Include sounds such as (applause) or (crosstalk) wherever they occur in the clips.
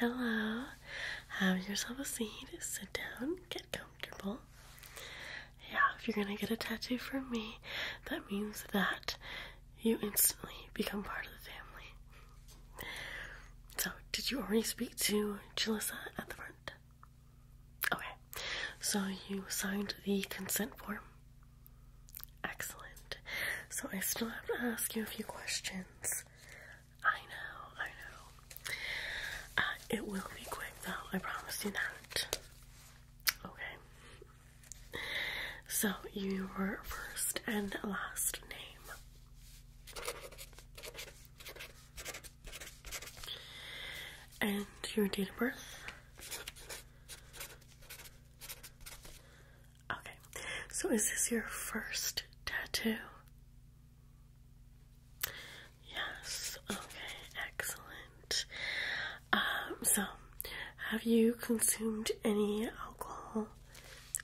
Hello. Have yourself a seat. Sit down. Get comfortable. Yeah, if you're gonna get a tattoo from me, that means that you instantly become part of the family. So, did you already speak to Jalissa at the front? Okay. So you signed the consent form. Excellent. So I still have to ask you a few questions. I know, I know. Uh, it will be quick though, I promise you that. Okay. So, your first and last name. And your date of birth. Okay, so is this your first tattoo? Yes, okay, excellent. Um, so have you consumed any alcohol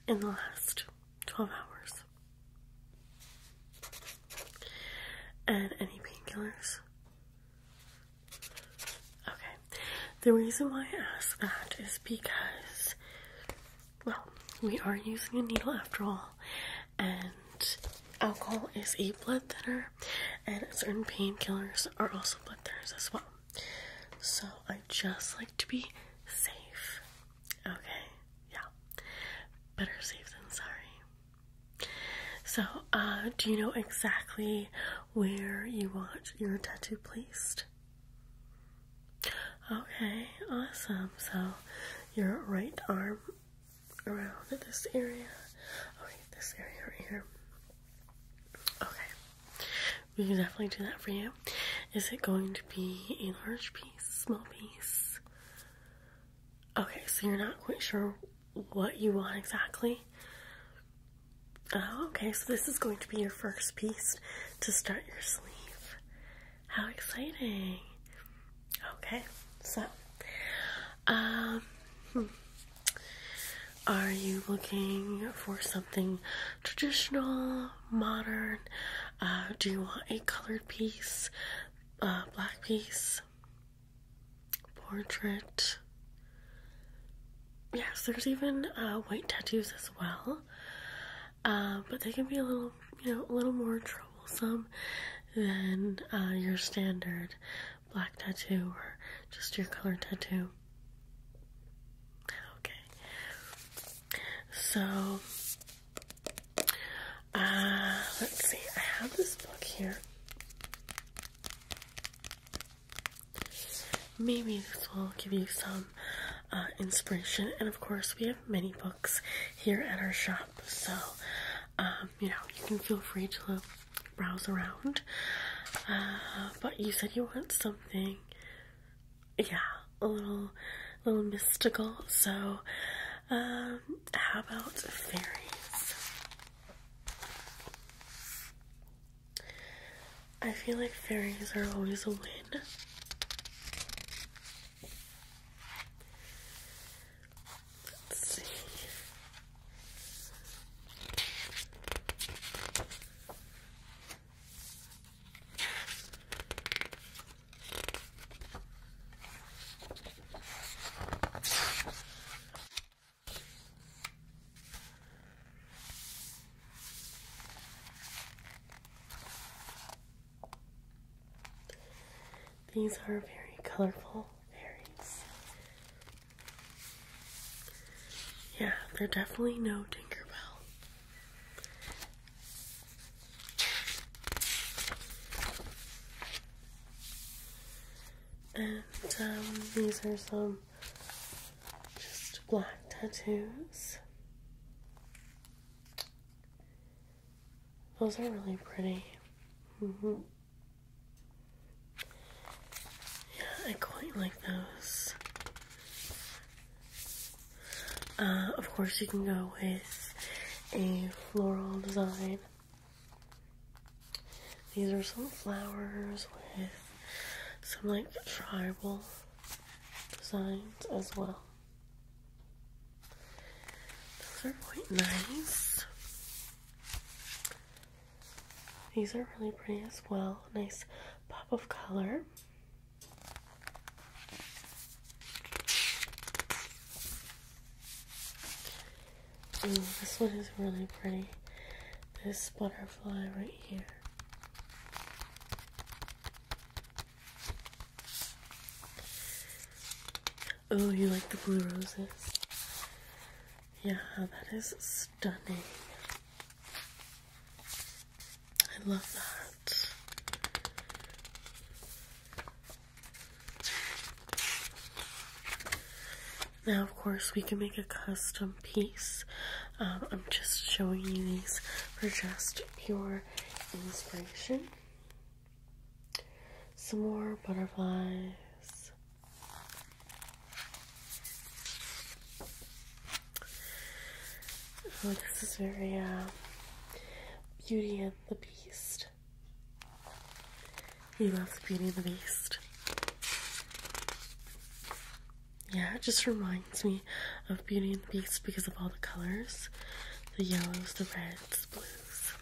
in the last 12 hours? And any painkillers? Okay, the reason why I ask that is because well, we are using a needle after all, and alcohol is a blood thinner, and certain painkillers are also blood thinners as well. So I just like to be safe. Okay, yeah. Better safe than sorry. So, uh, do you know exactly where you want your tattoo placed? Okay, awesome. So your right arm around this area. Okay, this area right here. Okay. We can definitely do that for you. Is it going to be a large piece, small piece? Okay, so you're not quite sure what you want exactly. Oh, okay, so this is going to be your first piece to start your sleeve. How exciting! Okay, so, um, hmm. are you looking for something traditional, modern? Uh, do you want a colored piece, uh, black piece, portrait? Yes, there's even uh, white tattoos as well. Uh, but they can be a little, you know, a little more troublesome than uh, your standard black tattoo or just your color tattoo. Okay, so uh, let's see. I have this book here. Maybe this will give you some uh, inspiration. And of course, we have many books here at our shop, so um, you know you can feel free to browse around. Uh, but you said you want something, yeah, a little, little mystical. So, um, how about fairies? I feel like fairies are always a win. Let's see. These are very colorful berries. Yeah, they're definitely no Tinkerbell. And um, these are some just black tattoos. Those are really pretty. Mm-hmm. Yeah, I quite like those. Uh, of course, you can go with a floral design. These are some flowers with some like tribal designs as well. Those are quite nice. These are really pretty as well. Nice pop of color. Ooh, this one is really pretty. This butterfly right here. Oh, you like the blue roses? Yeah, that is stunning. I love that. Now, of course, we can make a custom piece. Um, I'm just showing you these for just pure inspiration. Some more butterflies. Oh, this is very uh, Beauty and the Beast. He loves Beauty and the Beast yeah, it just reminds me of Beauty and the Beast because of all the colors the yellows, the reds, blues.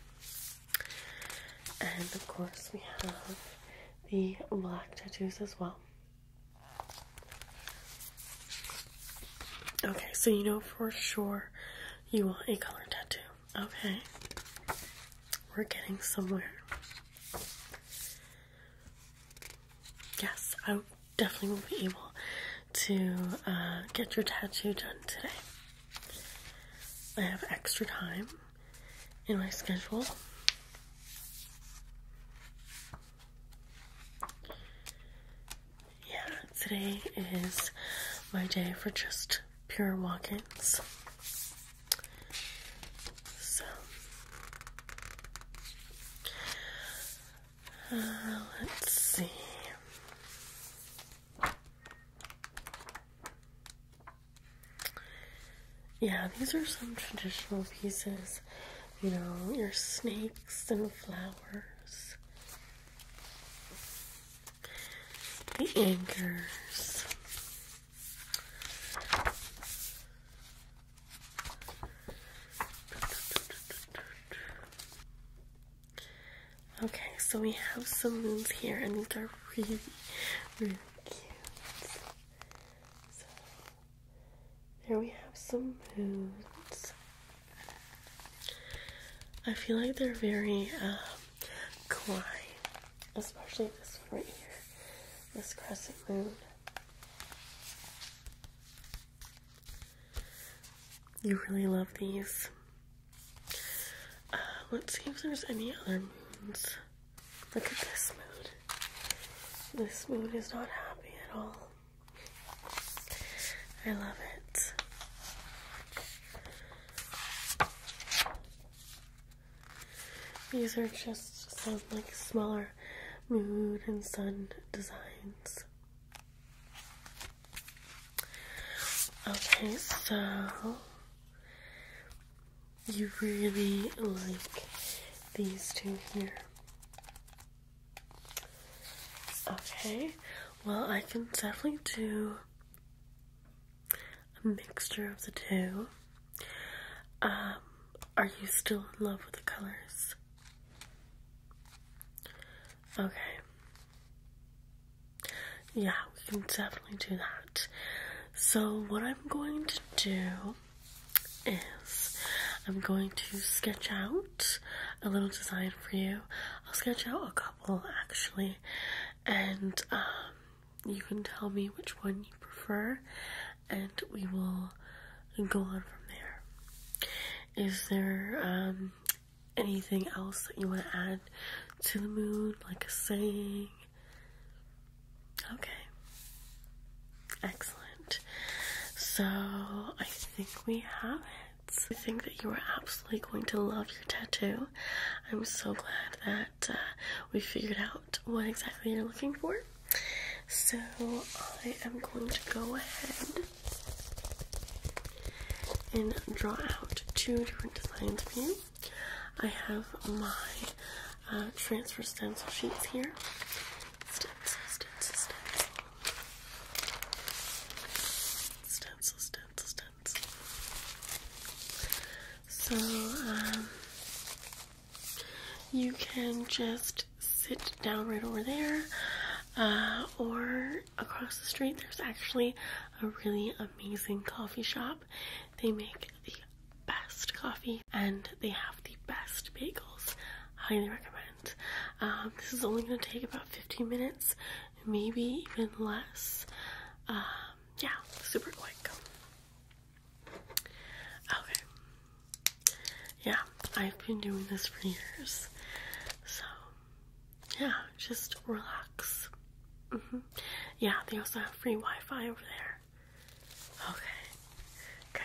And of course, we have the black tattoos as well. Okay, so you know for sure you want a color tattoo. Okay, we're getting somewhere. Yes, I definitely will be able to uh, get your tattoo done today. I have extra time in my schedule. Yeah, today is my day for just pure walk ins. So, uh, let's see. Yeah, these are some traditional pieces. You know, your snakes and flowers, the anchors. Okay, so we have some moons here, and these are really, really cute. So, there we have some moons. I feel like they're very um, quiet, especially this one right here, this crescent moon. You really love these. Uh, let's see if there's any other moons. Look at this moon. This moon is not happy at all. I love it. These are just some like smaller moon and sun designs. Okay, so you really like these two here. Okay, well, I can definitely do a mixture of the two. Um, are you still in love with the colors? Okay. Yeah, we can definitely do that. So, what I'm going to do is I'm going to sketch out a little design for you. I'll sketch out a couple actually, and um, you can tell me which one you prefer, and we will go on from there. Is there um, anything else that you want to add to the mood, like a saying? Okay. Excellent. So I think we have it. I think that you are absolutely going to love your tattoo. I'm so glad that uh, we figured out what exactly you're looking for. So I am going to go ahead and draw out two different designs for you. I have my uh, transfer stencil sheets here. Stencil, stencil, stencil. Stencil, stencil, stencil. So, um, you can just sit down right over there uh, or across the street there's actually a really amazing coffee shop they make the best coffee and they have the best bagels highly recommend um, this is only going to take about 15 minutes maybe even less um, yeah super quick okay yeah, I've been doing this for years. So, yeah, just relax. Mm-hmm. Yeah, they also have free Wi Fi over there. Okay, great.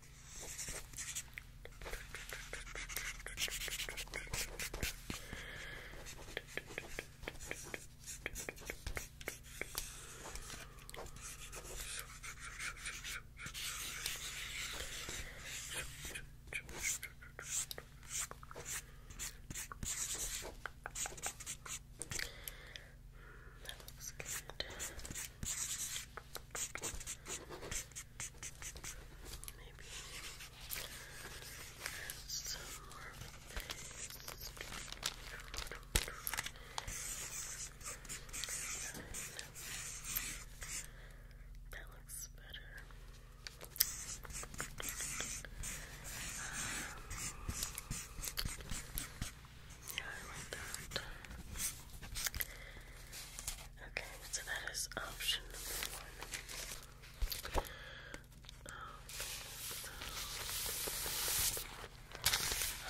That looks good. Maybe some more of this. That looks better. Um, yeah, I like that. Okay, so that is option number one.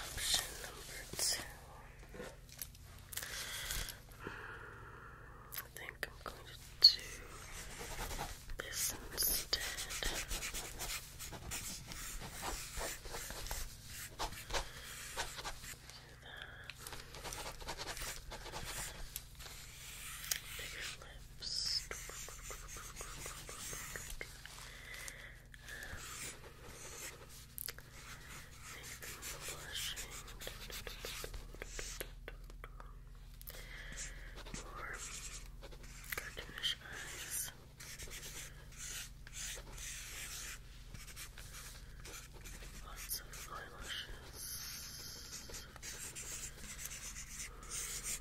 option number two. I think I'm going to do this instead. Bigger lips. Um, blushing. More cartoonish eyes lots of eyelashes. My definition is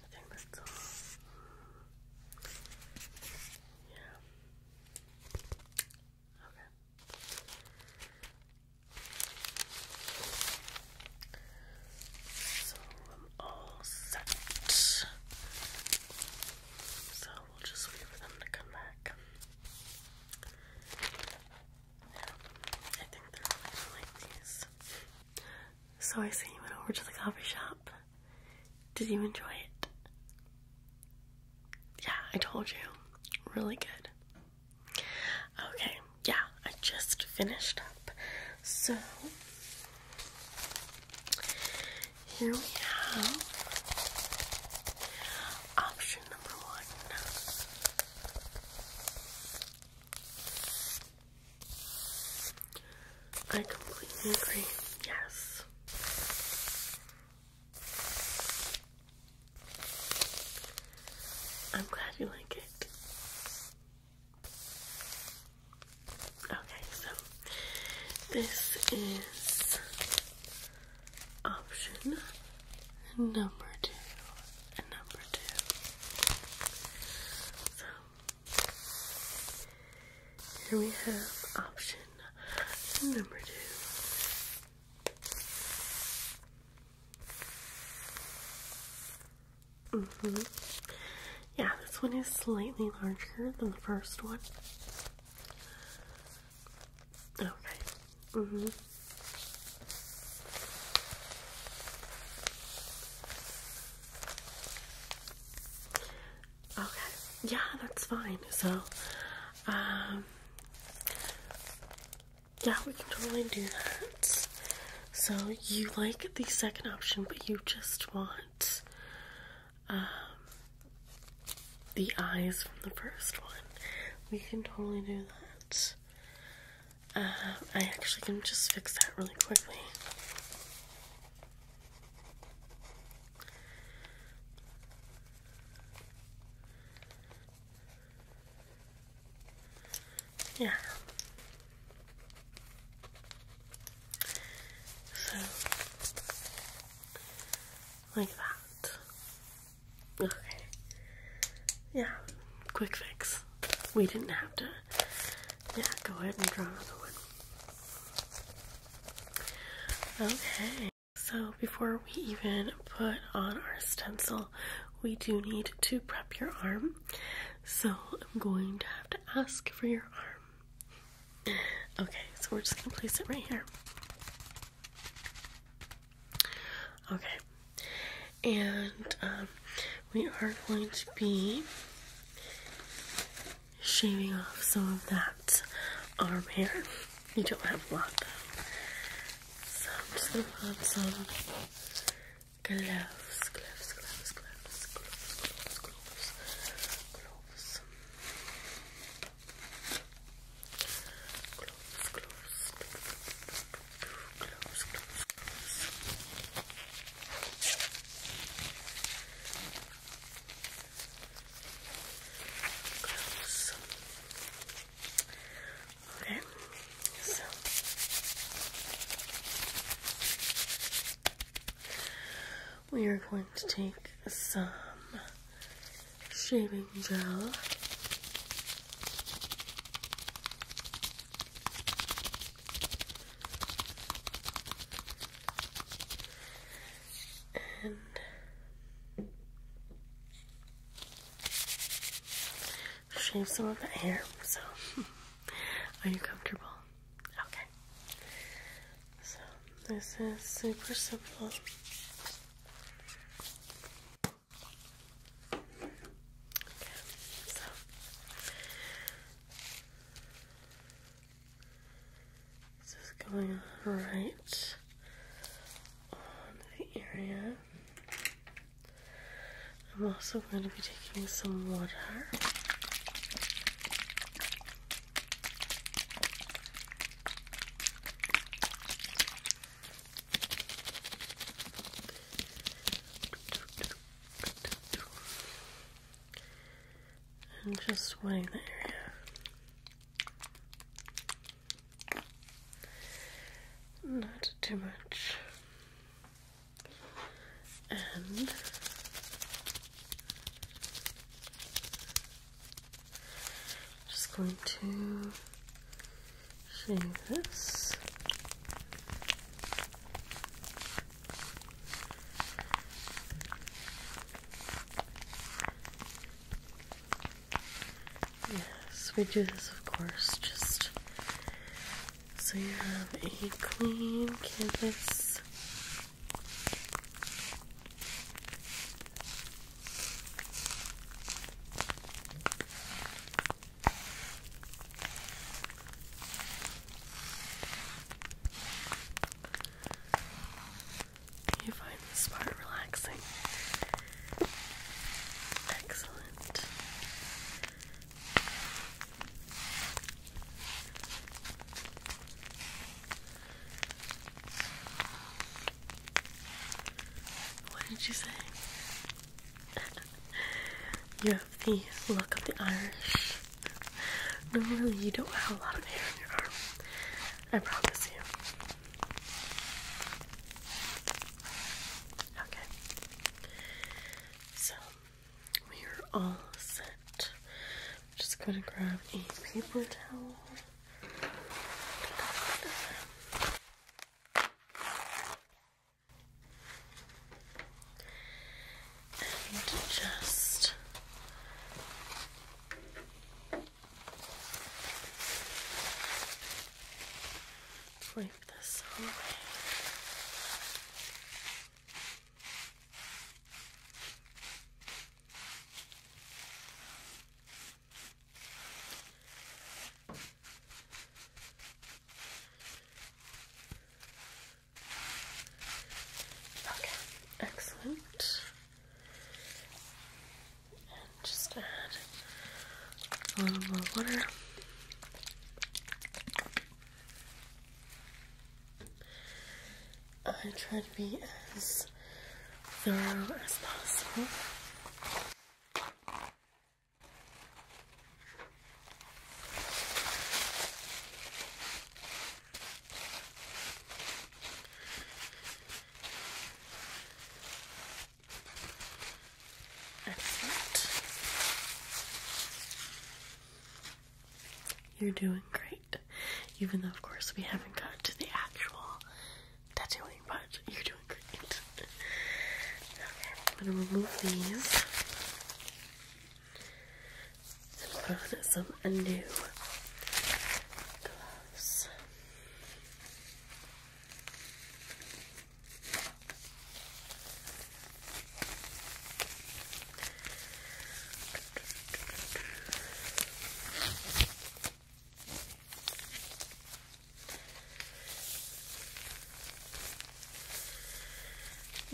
I think that's all. Yeah. Okay. So I'm all set. So we'll just wait for them to come back. Yeah, I think they're like these. So I see you went over to the coffee shop. Did you enjoy it? Yeah, I told you. Really good. Okay, yeah, I just finished up. So, here we have option number one. I completely agree. Yes. I'm glad you like it. Okay, so this is option number two number two. So here we have option number two. Mm hmm Yeah, this one is slightly larger than the first one. Okay. hmm Okay, yeah, that's fine. So, um, yeah, we can totally do that. So, you like the second option, but you just want um, the eyes from the first one. We can totally do that. Uh, I actually can just fix that really quickly. Yeah. So, like that. Okay. Yeah, quick fix we didn't have to. Yeah, go ahead and draw another one. Okay, so before we even put on our stencil, we do need to prep your arm. So I'm going to have to ask for your arm. Okay, so we're just gonna place it right here. Okay, and um, we are going to be shaving off some of that arm hair. You don't have a lot though. So I'm just gonna put on some gloves, gloves, gloves, gloves, gloves, gloves, gloves, gloves. Gloves, gloves. Okay, so we are going to take some shaving gel. And shave some of the hair. So, (laughs) are you comfortable? Okay. So, this is super simple so this going right on the area. I'm also going to be taking some water. And just sweating the area. Not too much. And just going to shave Yes, we do this, of course, just so you have a clean canvas. You find this part relaxing. Excellent. What did you say? you have the look of the Irish. Normally, you don't have a lot of hair on your arm. I promise you. Okay. So, we are all set. just going to grab a paper towel. And just wipe this away. Okay, excellent. And just add a little more water. I try to be as thorough as possible. You're doing great. Even though, of course, we haven't got to the actual tattooing, but you're doing great. Okay, I'm gonna remove these and put on some new gloves.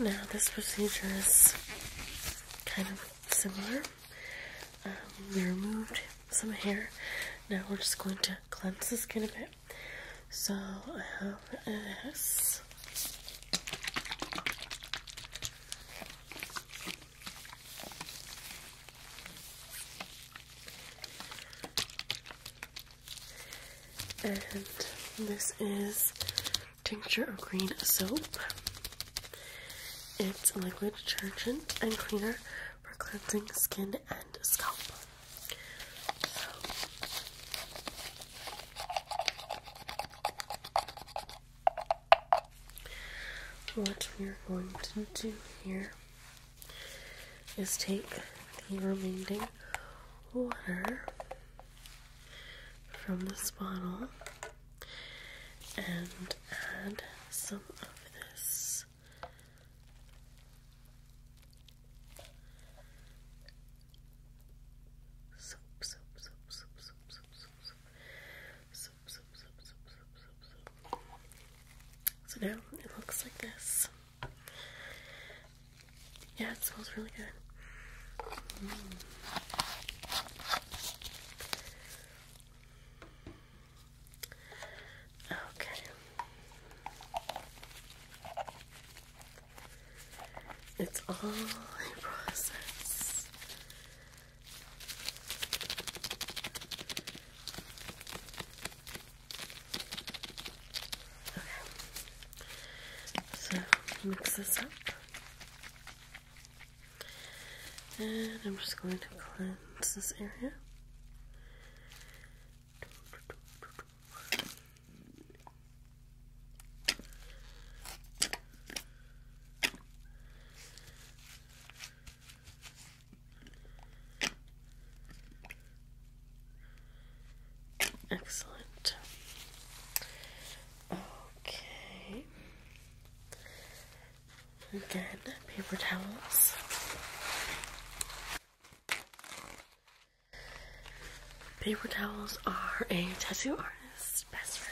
Now, this procedure is kind of similar. Um, we removed some hair. Now we're just going to cleanse the skin a bit. So I have this. And this is tincture of green soap. It's a liquid detergent and cleaner for cleansing skin and scalp. what we're going to do here is take the remaining water from this bottle and add some of this soap, soap, soap, soap, soap, soap, soap, soap, soap, soap, soap, soap, soap, So now it looks like this. Yeah, it smells really good. Okay. It's all a process. Okay, so mix this up. And I'm just going to cleanse this area. Excellent. Okay. Again, paper towels. Paper towels are a tattoo artist's best friend.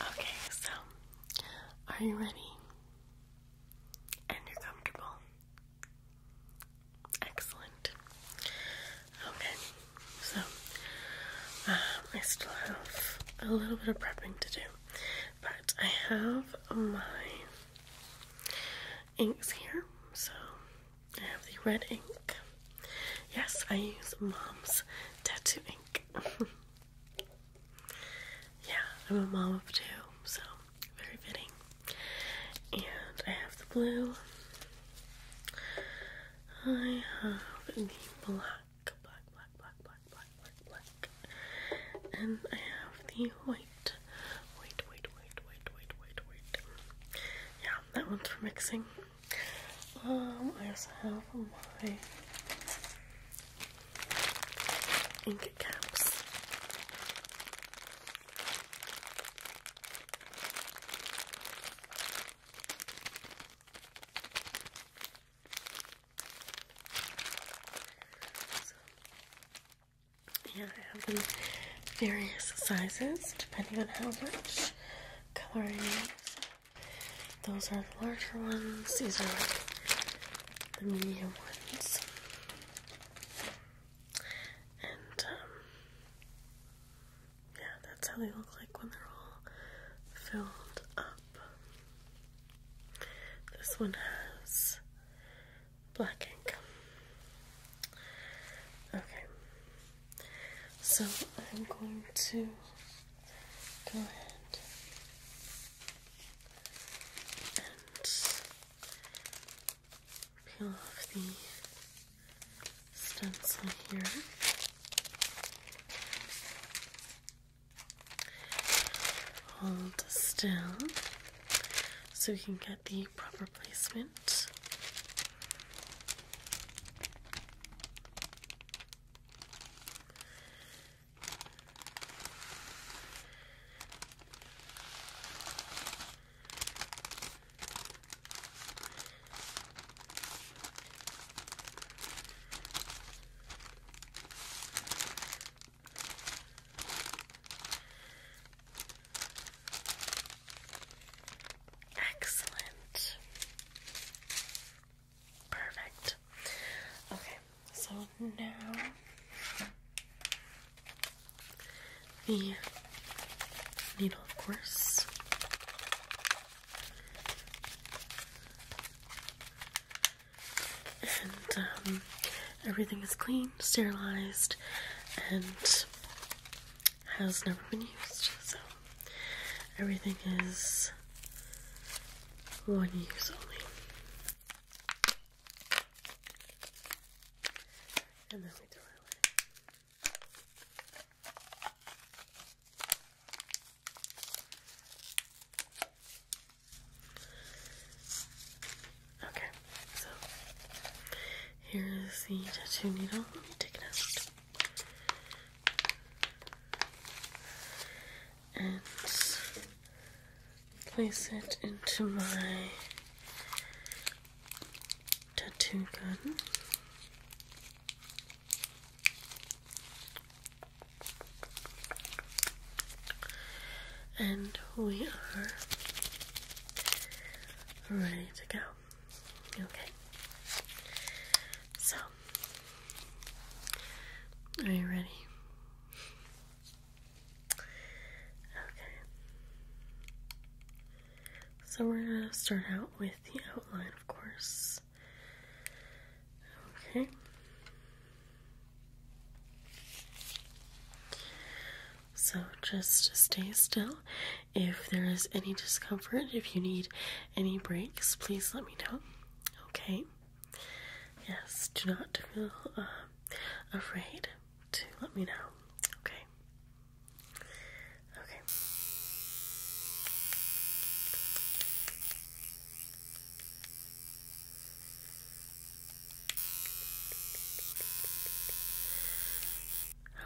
Okay, so are you ready? And you're comfortable? Excellent. Okay, so um, I still have a little bit of prepping to do, but I have my inks here, so I have the red ink. Yes, I use mom's tattoo ink. (laughs) yeah, I'm a mom of two, so very fitting. And I have the blue. I have the black, black, black, black, black, black, black, black. And I have the white wait. Wait, wait, wait, wait, wait, wait, Yeah, that one's for mixing. Um, I also have my ink caps. And I have the various sizes depending on how much coloring. I Those are the larger ones, these are the medium ones. And um, yeah, that's how they look like when they're all filled up. This one has black ink. Okay, so I'm going to go ahead and peel off the stencil here. Hold still so we can get the proper placement. Excellent. Perfect. Okay, so now the needle, of course. And um, everything is clean, sterilized, and has never been used, so everything is one use only. And then we throw it away. Okay, so here is the tattoo needle. Let me take it out. And place it into my tattoo gun. And we are ready to go. Okay. So, are you ready? Okay. So, we're going to start out with the outline, of course. Okay. So just stay still. If there is any discomfort, if you need any breaks, please let me know. Okay? Yes, do not feel uh, afraid to let me know. Okay? Okay.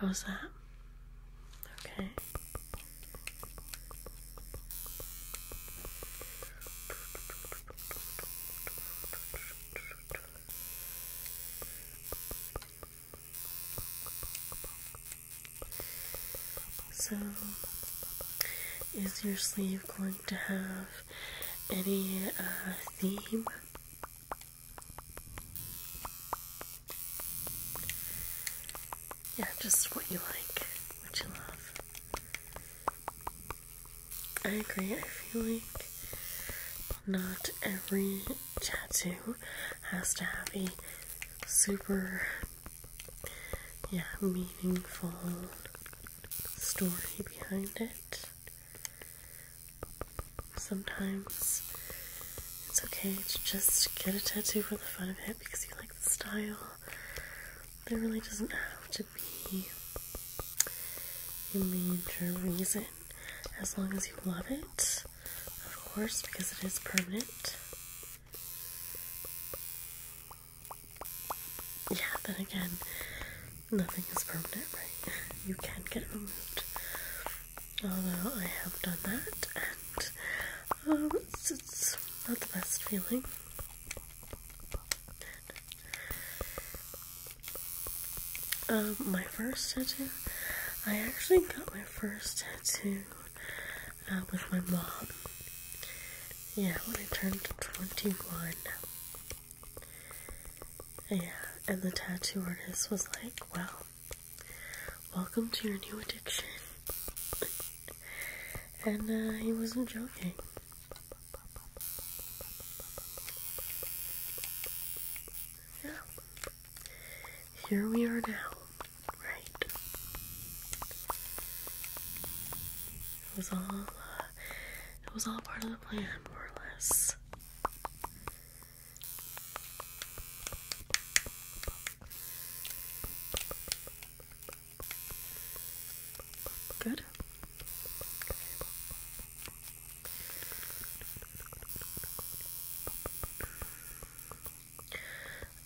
How's that? Okay. So, is your sleeve going to have any uh, theme? Yeah, just what you like, what you love. I agree, I feel like not every tattoo has to have a super, yeah, meaningful story behind it sometimes it's okay to just get a tattoo for the fun of it because you like the style. There really doesn't have to be a major reason as long as you love it, of course, because it is permanent. Yeah, then again, nothing is permanent, right? (laughs) You can get it removed although I have done that, and um, it's, not the best feeling. Um, my first tattoo, I actually got my first tattoo uh, with my mom. Yeah, when I turned 21. Yeah, and the tattoo artist was like, well, welcome to your new addiction. and uh, he wasn't joking. Yeah. Here we are now, right? It was all, uh, it was all part of the plan, more or less. Good.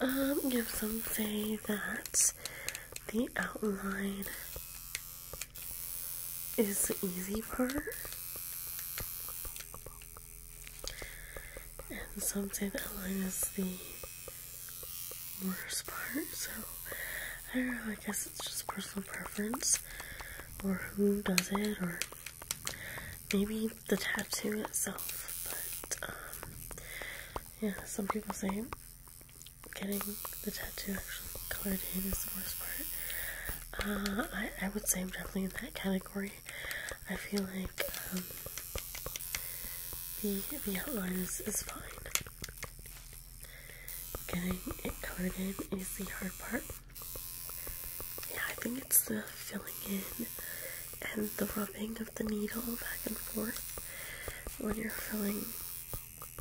Um, some say that the outline is the easy part. And some say that line is the worst part, so I don't know, I guess it's just personal preference or who does it or maybe the tattoo itself, but um, yeah, some people say getting the tattoo actually colored in is the worst part. Uh, I, would say I'm definitely in that category. I feel like um, the, the outline is, is fine. Getting it colored in is the hard part. Yeah, I think it's the filling in and the rubbing of the needle back and forth when you're filling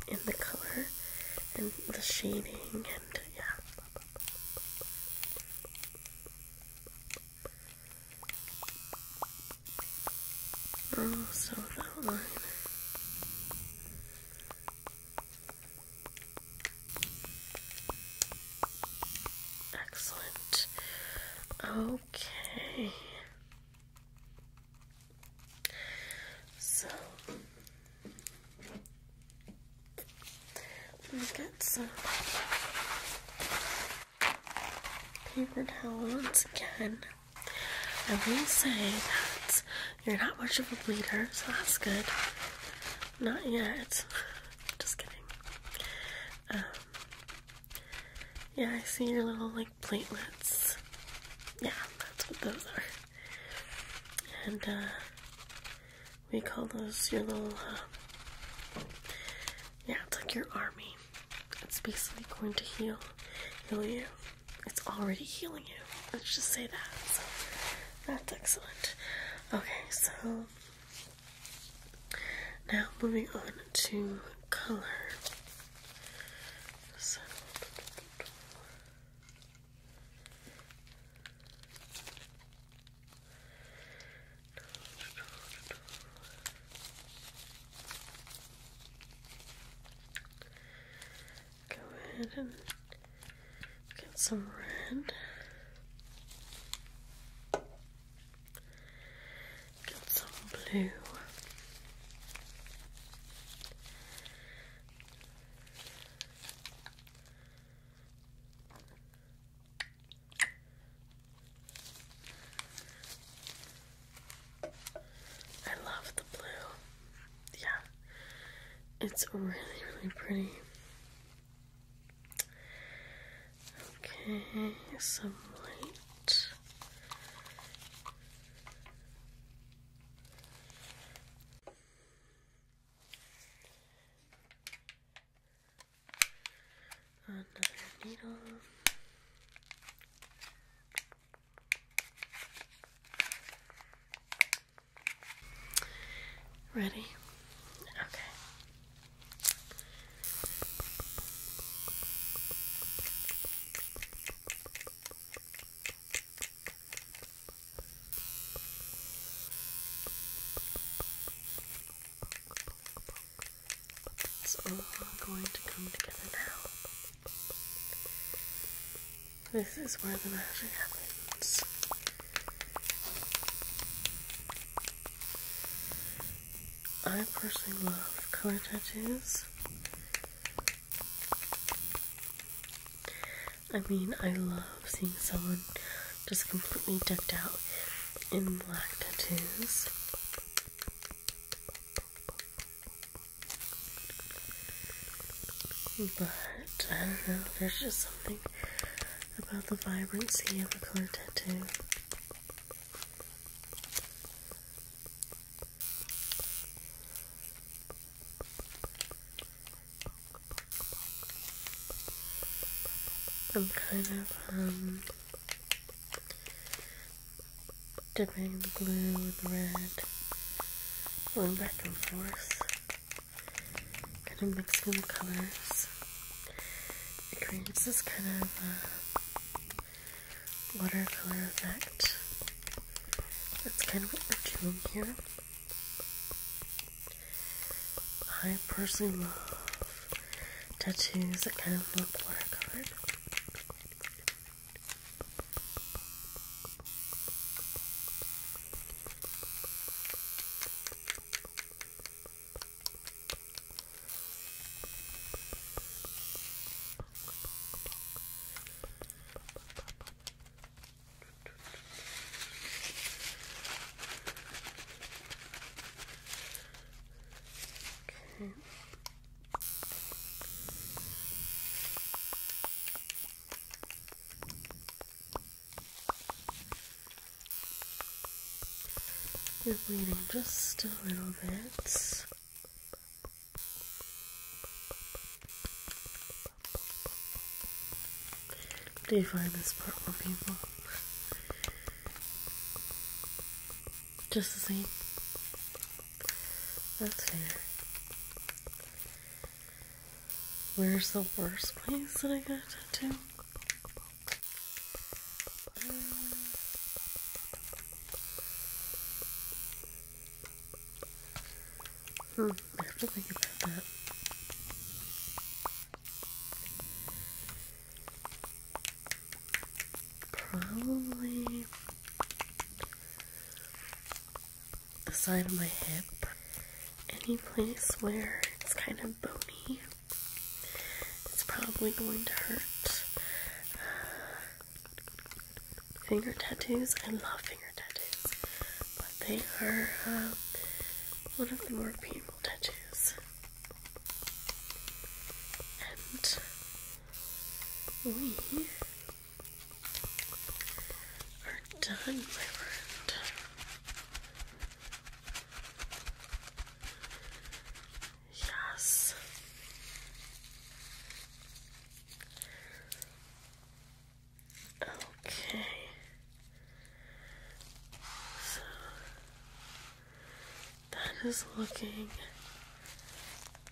in the color and the shading and yeah. So that line. Excellent. Okay. So let me get some paper towels again. I will say that you're not much of a bleeder, so that's good. Not yet. (laughs) Just kidding. Um, yeah, I see your little like platelets. Yeah, that's what those are. And uh, we call those your little, uh, yeah, it's like your army. It's basically going to heal, heal you. It's already healing you. Let's just say that. that's excellent. Okay, so now moving on to color. Go ahead and get some red. Get some blue. I love the blue. Yeah. It's really, really pretty. Okay, some light. Another needle. Ready? Okay. It's all going to come together now. This is where the magic happens. I personally love color tattoos. I mean, I love seeing someone just completely decked out in black tattoos. But I don't know, there's just something about the vibrancy of a color tattoo. I'm kind of, um, dipping the blue and the red, going back and forth, kind of mixing the colors. It creates this kind of, uh, watercolor effect. That's kind of what we're doing here. I personally love tattoos that kind of look watercolor. Okay. You're bleeding just a little bit. Do you find this part more people? Just the same. That's fair. Where's the worst place that I got to do? Hmm, I have to think about that. Probably the side of my hip. Any place where it's kind of bony, it's probably going to hurt. finger tattoos, I love finger tattoos, but they are um, one of the more painful tattoos, And we are done, my friend. Yes. Okay. So that is looking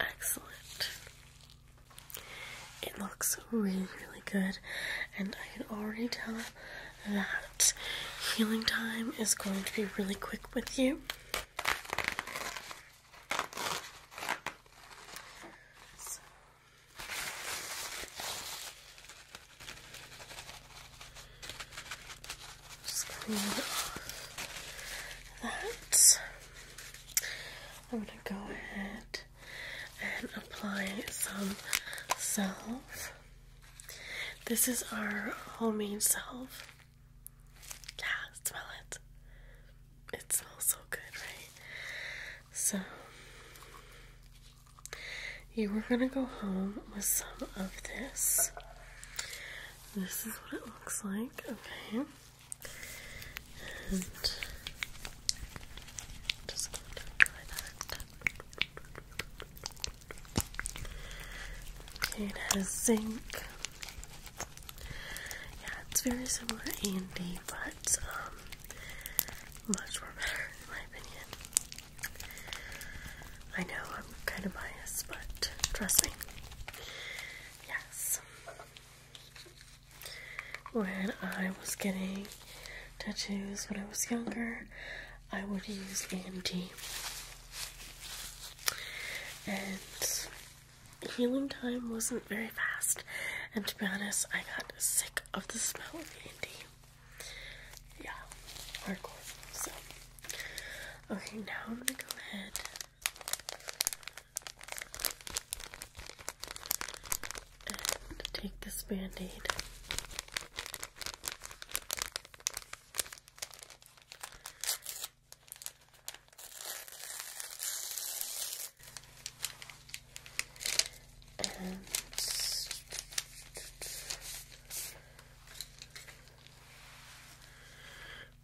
excellent. It looks really, really good, and I can already tell that healing time is going to be really quick with you. Just that. I'm going to go ahead and apply some self. This is our homemade salve. Yeah, smell it. It smells so good, right? So, you are gonna go home with some of this. This is what it looks like, okay? And just going to that. Okay, it has zinc. Yeah, it's very similar to Andy, but um, much more better in my opinion. I know I'm kind of biased, but trust me. Yes. When I was getting tattoos when I was younger, I would use AMD. And healing time wasn't very fast, and to be honest, I got sick of the smell. D&D. Yeah, So, okay, now I'm gonna go ahead. And take this band aid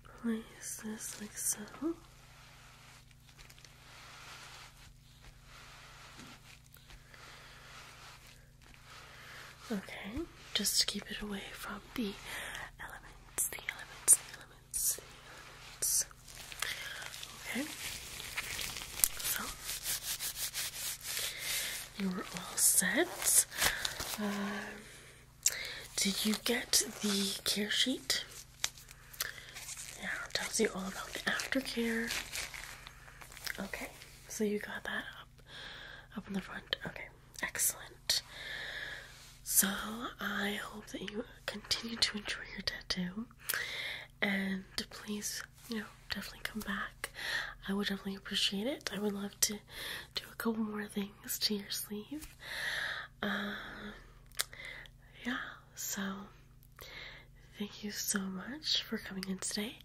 place this like so. Okay, just to keep it away from the elements, the elements, the elements. Okay, so you are all set. Um, did you get the care sheet? Yeah, it tells you all about the aftercare. Okay, so you got that up up in the front. Okay, excellent. So I hope that you continue to enjoy your tattoo and please please, you know, definitely come back. I would definitely appreciate it. I would love to do a couple more things to your sleeve. Um, yeah, so thank you so much for coming in today.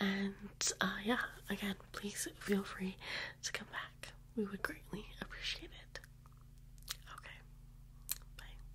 And uh, yeah, again, please feel free to come back. We would greatly appreciate it. Okay, bye.